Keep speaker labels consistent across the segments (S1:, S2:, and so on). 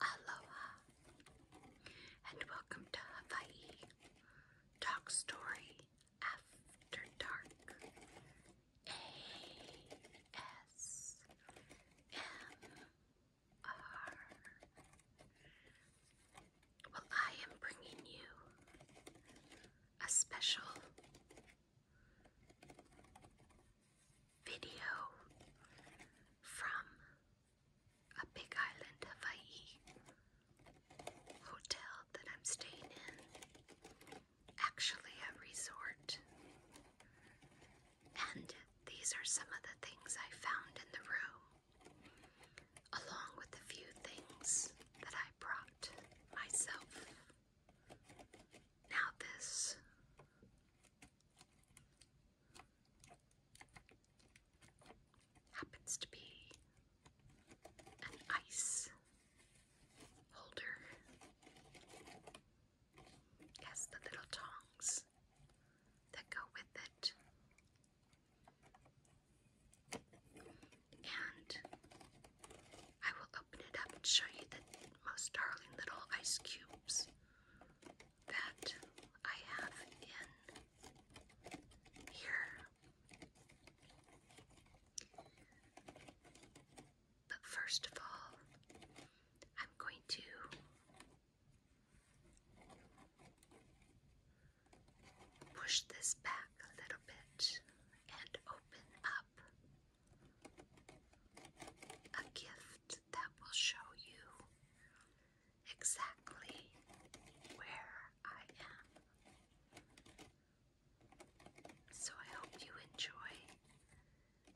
S1: Aloha and welcome to Hawaii Talk Story After Dark ASMR. Well, I am bringing you a special video from a Big Island Hawaii hotel that I'm staying in. Actually, a resort. And these are some of the things I found in the room, along with a few things that I brought myself. Now, this happens to be an ice holder. Yes, the little tongs that go with it. And I will open it up and show you the most darling little ice cubes that I have in here. But first of all, I'm going to Push this back a little bit and open up a gift that will show you exactly where I am. So I hope you enjoy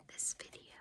S1: this video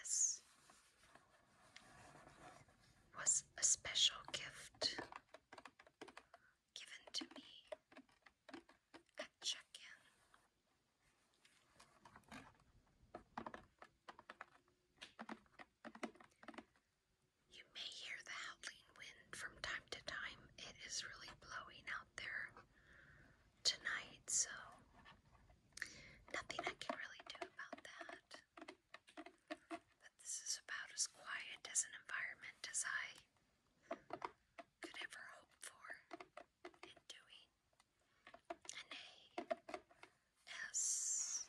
S1: This was a special gift given to me at check in. You may hear the howling wind from time to time, it is really blowing there tonight, so nothing I can really do about that. But this is about as quiet as an environment as I could ever hope for in doing an A S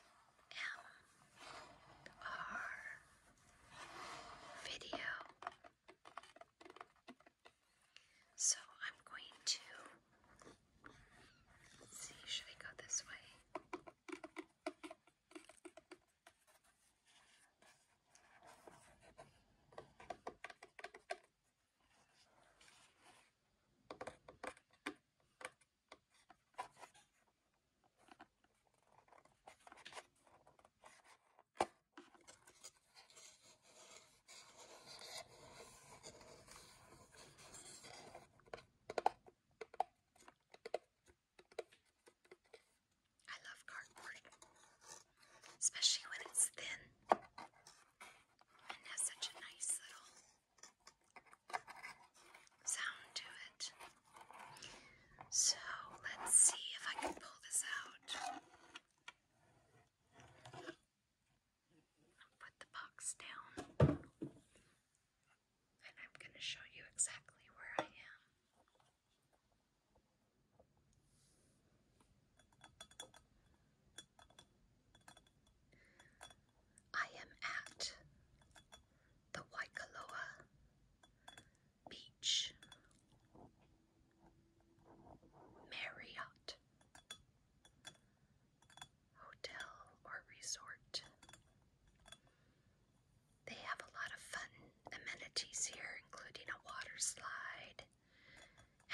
S1: M R video. So I'm going to see, should I go this way? I love cardboard, especially when it's thin and has such a nice little sound to it. So let's see if I can pull this out. Put the box down, and I'm going to show you exactly where I am. I am at the Waikoloa Beach. Marriott Hotel or Resort. They have a lot of fun amenities here, including a water slide,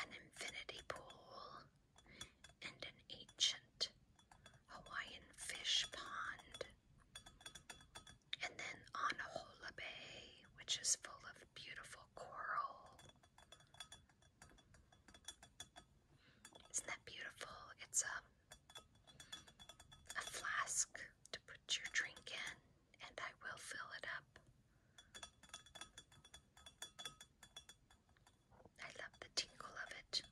S1: an infinity pool, and an ancient Hawaiian fish pond. And then on Bay, which is full of beautiful coral. Isn't that beautiful? It's a, um, a flask to put your drink in, and I will fill it up. I love the tinkle of it.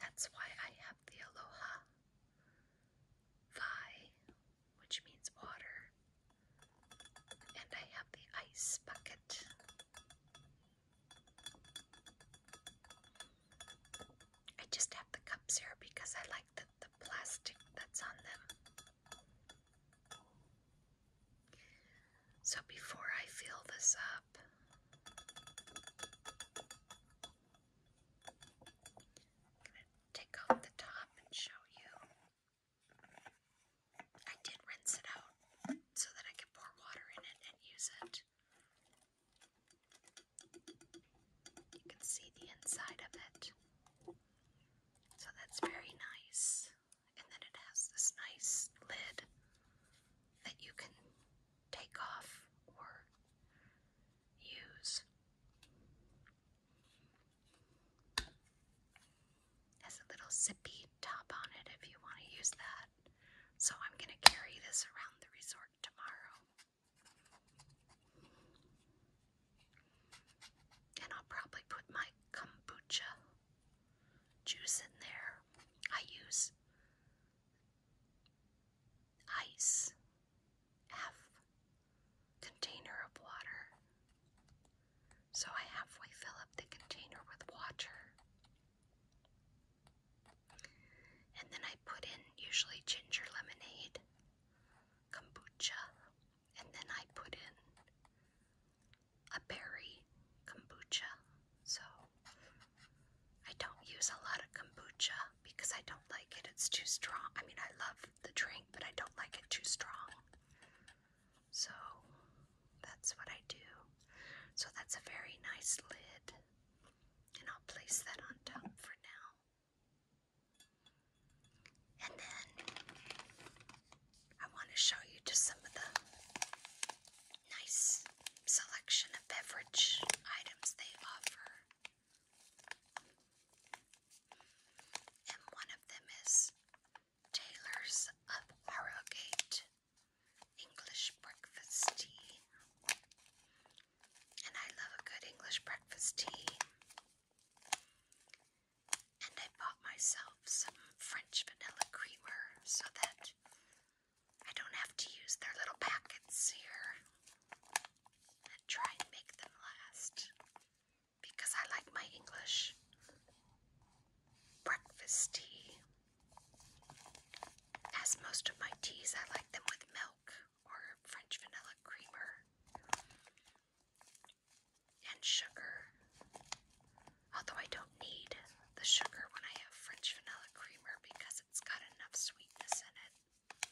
S1: That's why I have the Aloha Vi, which means water, and I have the ice bucket. I just have the cups here because I like the, the plastic that's on them. So before I fill this up, I'm going to take off the top and show you. I did rinse it out so that I could pour water in it and use it. You can see the inside of it. So that's very nice. And then it has this nice lid that you can take off or use has a little zippy top on it if you want to use that. So I'm going to carry this around the resort tomorrow. And I'll probably put my kombucha juice in there. I use Ice. F. Container of water. So I halfway fill up the container with water. And then I put in usually ginger lemonade, kombucha, and then I put in a berry kombucha. So I don't use a lot of kombucha because I don't like it. It's too strong. I mean, I love the drink, but I don't like it too strong. So that's what I do. So that's a very nice lid, and I'll place that on top for now. And then I want to show you just some of the nice selection of beverage items they offer. And one of them is Taylor's of Harrogate English breakfast tea. And I love a good English breakfast tea. And I bought myself some French vanilla creamer so that I don't have to use their little packets here and try and make them last because I like my English breakfast tea. As most of my teas, I like them with milk or French vanilla creamer and sugar. Although I don't need the sugar when I have French vanilla creamer because it's got enough sweetness in it.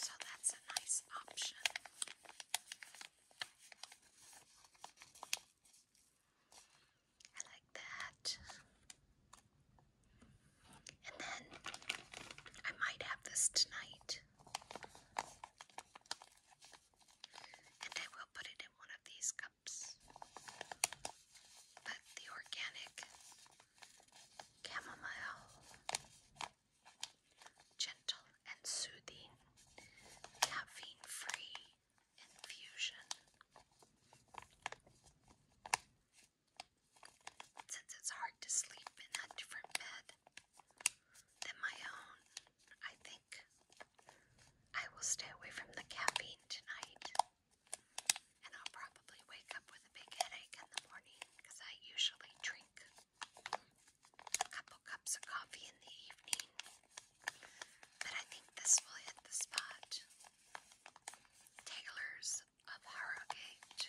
S1: So that's a nice option. I like that. And then I might have this tonight and I will put it in one of these cups. But the organic chamomile, gentle and soothing, caffeine free infusion. Since it's hard to sleep in a different bed than my own, I think I will stay away from the caffeine tonight, and I'll probably wake up with a big headache in the morning because I usually drink a couple cups of coffee in the evening. But I think this will hit the spot. Taylor's of Harrogate.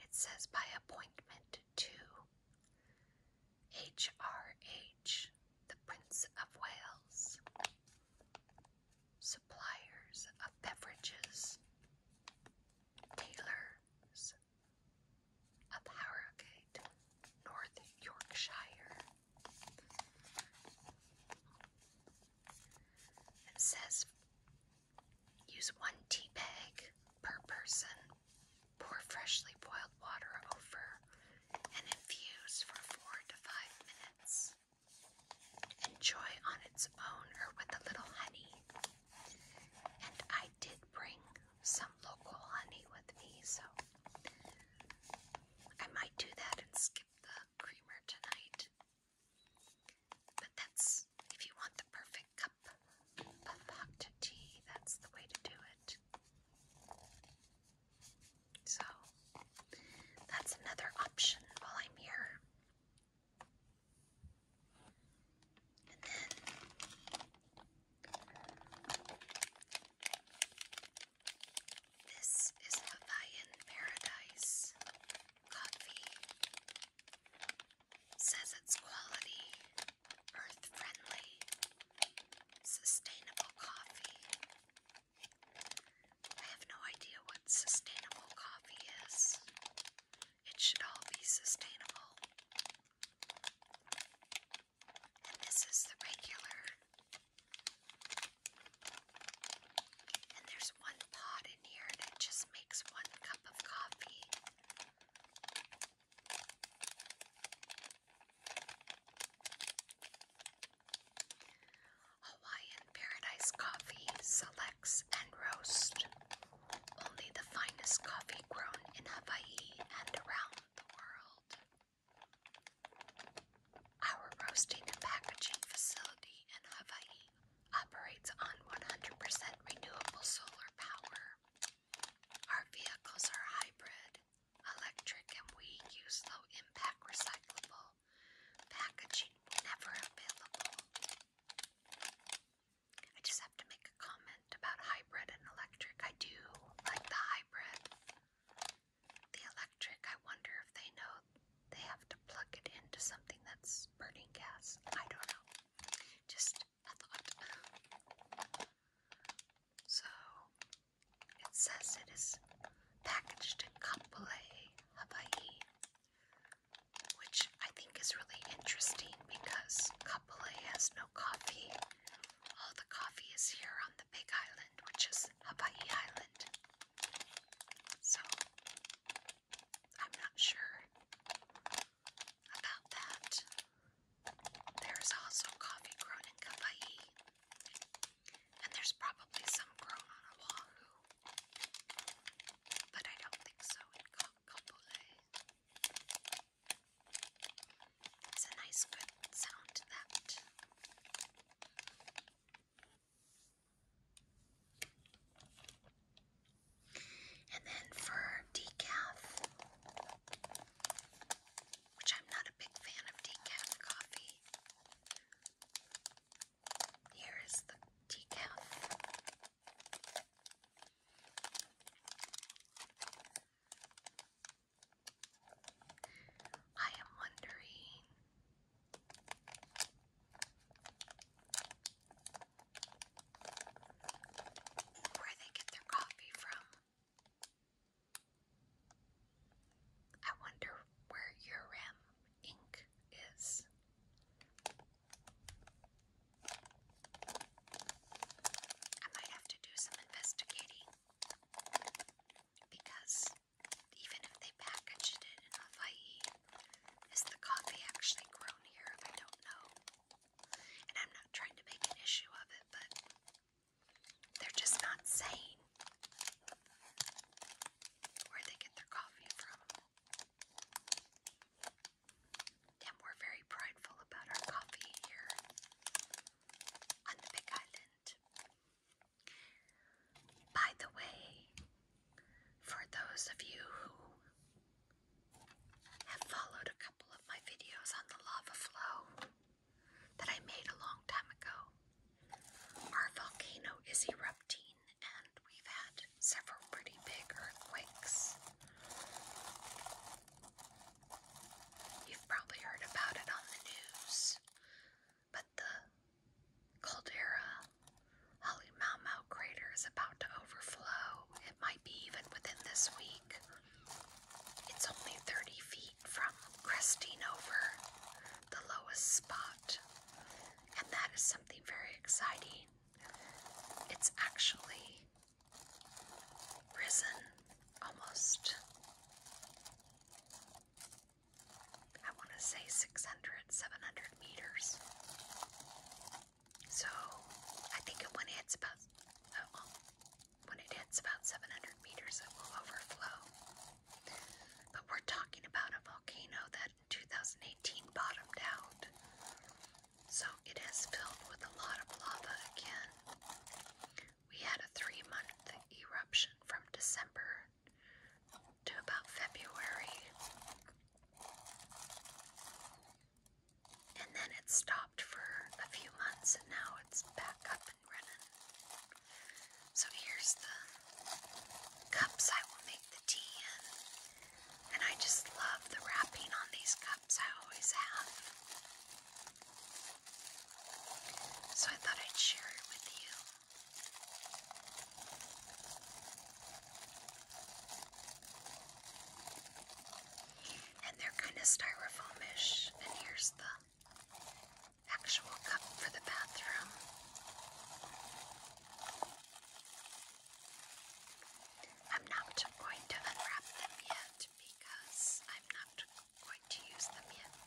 S1: It says by appointment to HRH, the Prince of Wales. Suppliers of beverages, tailors of Harrogate, North Yorkshire. It says Use one tea bag per person. Pour freshly boiled water over and infuse for four to five minutes. Enjoy on its own or with a little honey. And I did bring some local honey with me, so I might do that and skip the creamer tonight. But that's if you want the perfect cup a pot tea. That's the way to do it. So that's another option while I'm here. And then this is Hawaiian Paradise coffee. Says it's quality, earth friendly, sustainable coffee. I have no idea what sustainable coffee is. It should all be sustainable. And this is the regular. And there's one pot in here that just makes one cup of coffee. Hawaiian Paradise Coffee selects and roasts only the finest coffee grown in Hawaii and around the world. Our roasting and packaging facility in Hawaii operates on 100% renewable solar power. Our vehicles are hybrid, electric, and we use low impact recyclable packaging never available. I just have to make a comment about hybrid and electric. I do like the hybrid. The electric, I wonder if they know they have to plug it into something that's burning gas. I don't know. Just I thought. So it says it is packaged in Kapolei, Hawaii, which I think is really interesting because Kapolei has no coffee. All the coffee is here on the Big Island, which is Hawaii Island. So I'm not sure about that. There's also coffee grown in Kauai, and there's probably some grown on Oahu, but I don't think so in Kapolei. It's a nice, good sound that. And then for decaf, which I'm not a big fan of decaf coffee, here is the decaf. I am wondering where they get their coffee from. I wonder where Urim Inc. is. I might have to do some investigating because even if they packaged it in Hawaii, is the coffee actually grown here? I don't know. And I'm not trying to make an issue of it, but they're just not saying where they get their coffee from. And we're very prideful about our coffee here on the Big Island. By the way, for those of you who have followed a couple of my videos on the lava flow that I made a long time ago. Our volcano is erupting, and we've had several pretty big earthquakes. You've probably heard about it on the news, but the caldera Halemaumau crater is about to overflow might be even within this week. It's only 30 feet from cresting over the lowest spot, and that is something very exciting. It's actually risen almost, I want to say 600, 700 meters. So I think when it hits about oh, when it hits about 700 meters, it will overflow. But we're talking about a volcano that in 2018 bottomed out, so it is filled with a lot of lava again. We had a three-month eruption from December to about February. And then it stopped for a few months and now it's back up and running. So here's the cups I will make the tea in. And I just love the wrapping on these cups I always have. So I thought I'd share it with you. And they're kind of styrofoamish. And here's the actual cup for the bathroom. I'm not going to unwrap them yet because I'm not going to use them yet.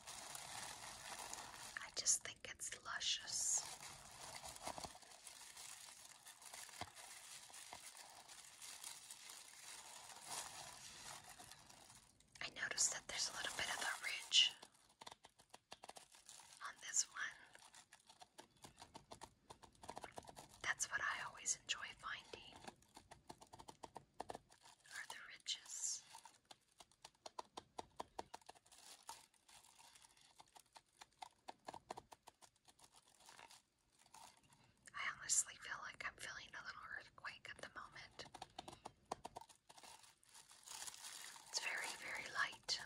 S1: I just think it's luscious. I noticed that there's a little bit of a ridge on this one. That's what I always enjoy finding are the ridges. I honestly feel like I'm feeling a little earthquake at the moment. It's very, very light,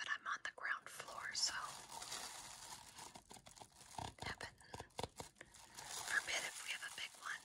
S1: but I'm on the ground floor, so heaven forbid if we have a big one.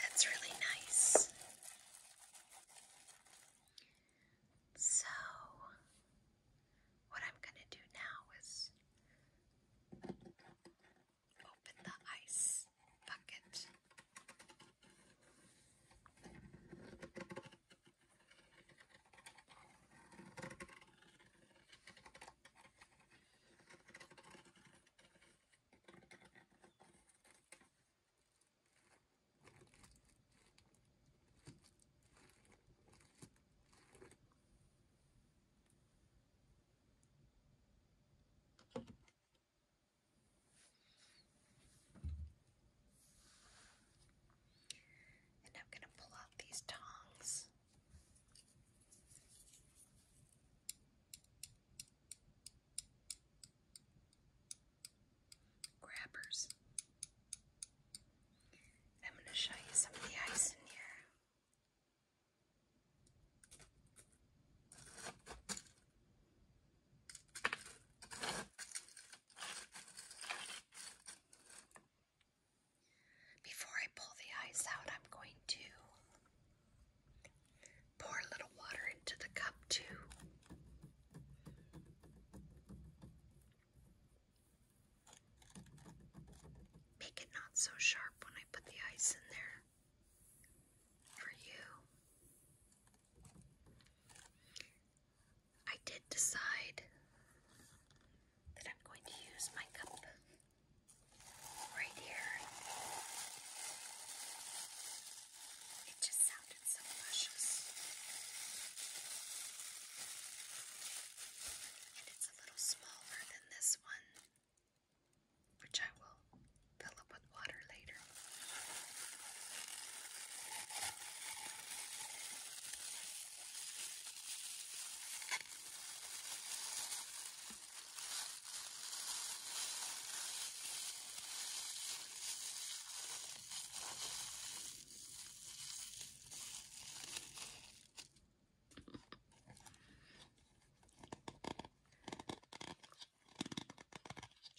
S1: That's really nice. So, what I'm going to do now is Open the ice bucket. And I'm going to pull out these tongs. Grabbers. I'm going to show you some of the ice in here. Before I pull the ice out, I'm going to pour a little water into the cup, too. Make it not so sharp when I put the ice in there for you. I did decide that I'm going to use my cup right here. It just sounded so luscious. And it's a little smaller than this one which I will fill up with water later.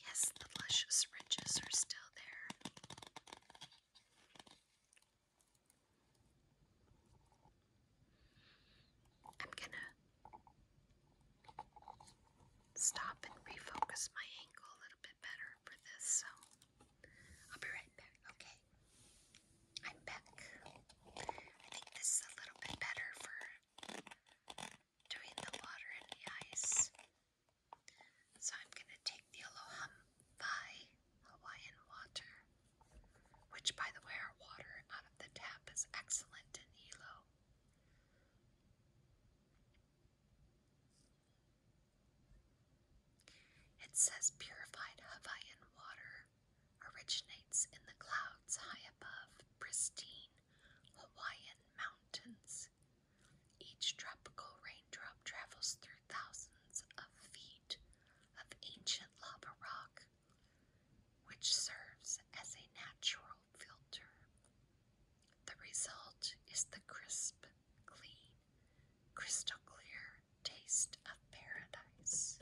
S1: Yes, the luscious ridges are still there. I'm gonna stop and refocus my ankle a little bit better for this, so I'll be right back. Okay, I'm back. I think this is a little bit better for between the water and the ice. So I'm going to take the Aloha Vai Hawaiian water, which, by the way, our water out of the tap is excellent in Hilo. It says purified Hawaiian water originates in the clouds high above pristine Hawaiian mountains. Each tropical raindrop travels through thousands of feet of ancient lava rock, which serves as a natural filter. The result is the crisp, clean, crystal clear taste of paradise.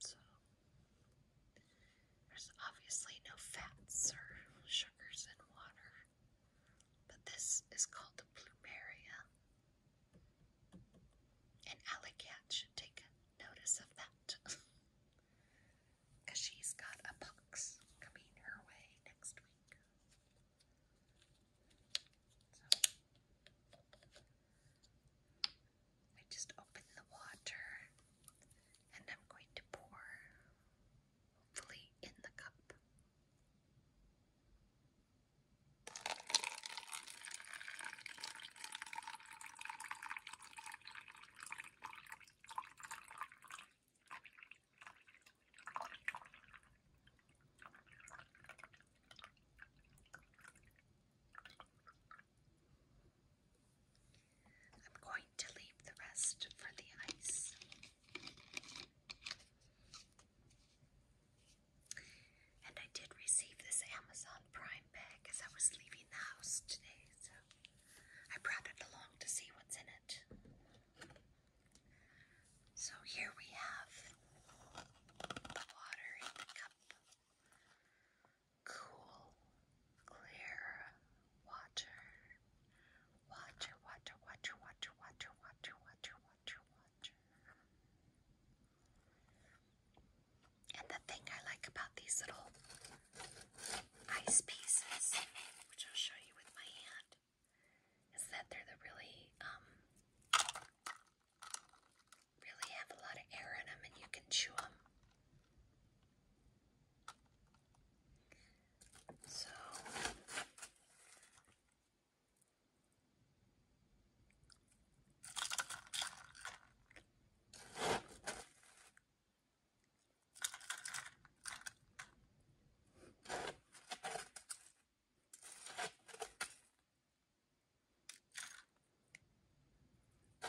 S1: So, there's obviously no fats or sugars in water, but this is called a plumeria. And Allie Cat should take notice of that. Because she's got a box coming her way next week. I just open the water and I'm going to pour, hopefully, in the cup. I'm going to leave the rest for the ice. And I did receive this Amazon Prime bag as I was leaving the house today, so I brought it along to see what's in it. So here we have the water in the cup cool, clear water. Water, water, water, water, water, water, water, water, water. And the thing I like about these little ice pieces, which I'll show you with my hand, is that they're the really um really have a lot of air in them and you can chew them. So so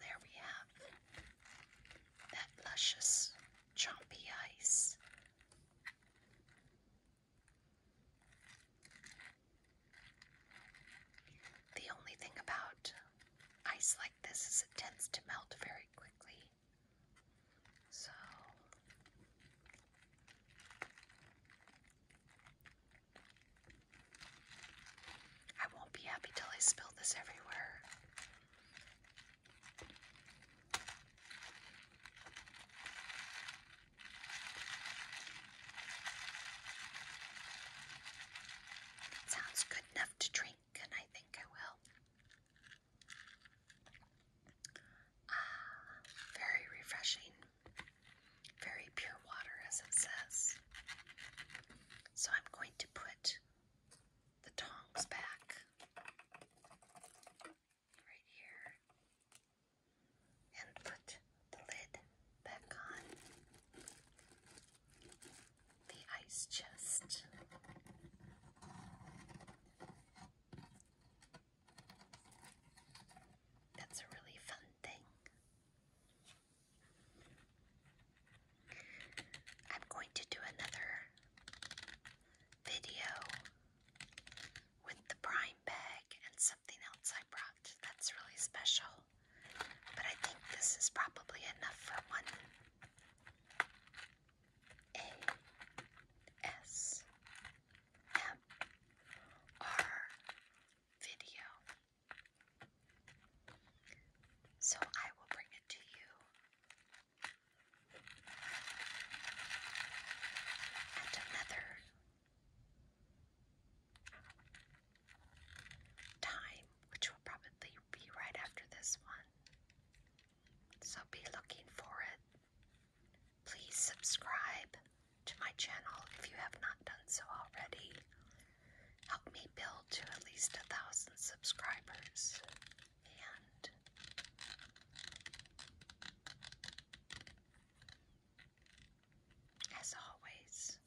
S1: there we have that luscious, chompy ice. The only thing about ice like this is it tends to melt very quickly. So I won't be happy till I spill this everywhere. It sounds good enough to drink, and I think I will. Ah, very refreshing. Very pure water, as it says. So I'm going to put the tongs back right here and put the lid back on the ice chest. That's a really fun thing. I'm going to do another video with the prime bag and something else I brought that's really special. But I think this is probably enough for one. A S M R video. So I will bring it to you at another time, which will probably be right after this one. So be looking for it. Please subscribe to my channel if you have not done so already. Help me build to at least a thousand subscribers. And as always,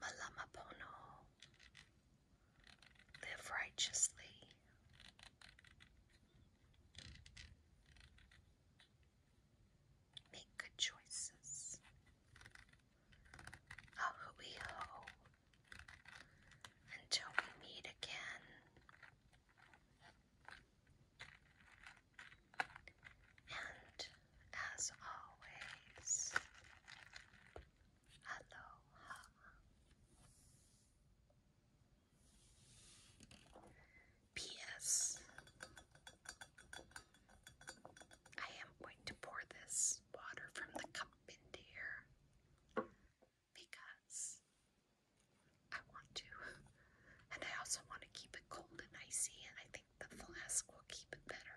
S1: Malamapono. Live righteously. Make good choices. Ahuiho. Until we meet again. And as always, aloha. P.S. I am going to pour this water from the cup into here because I want to, and I also want to keep it cold and icy, and I think the flask will keep it better.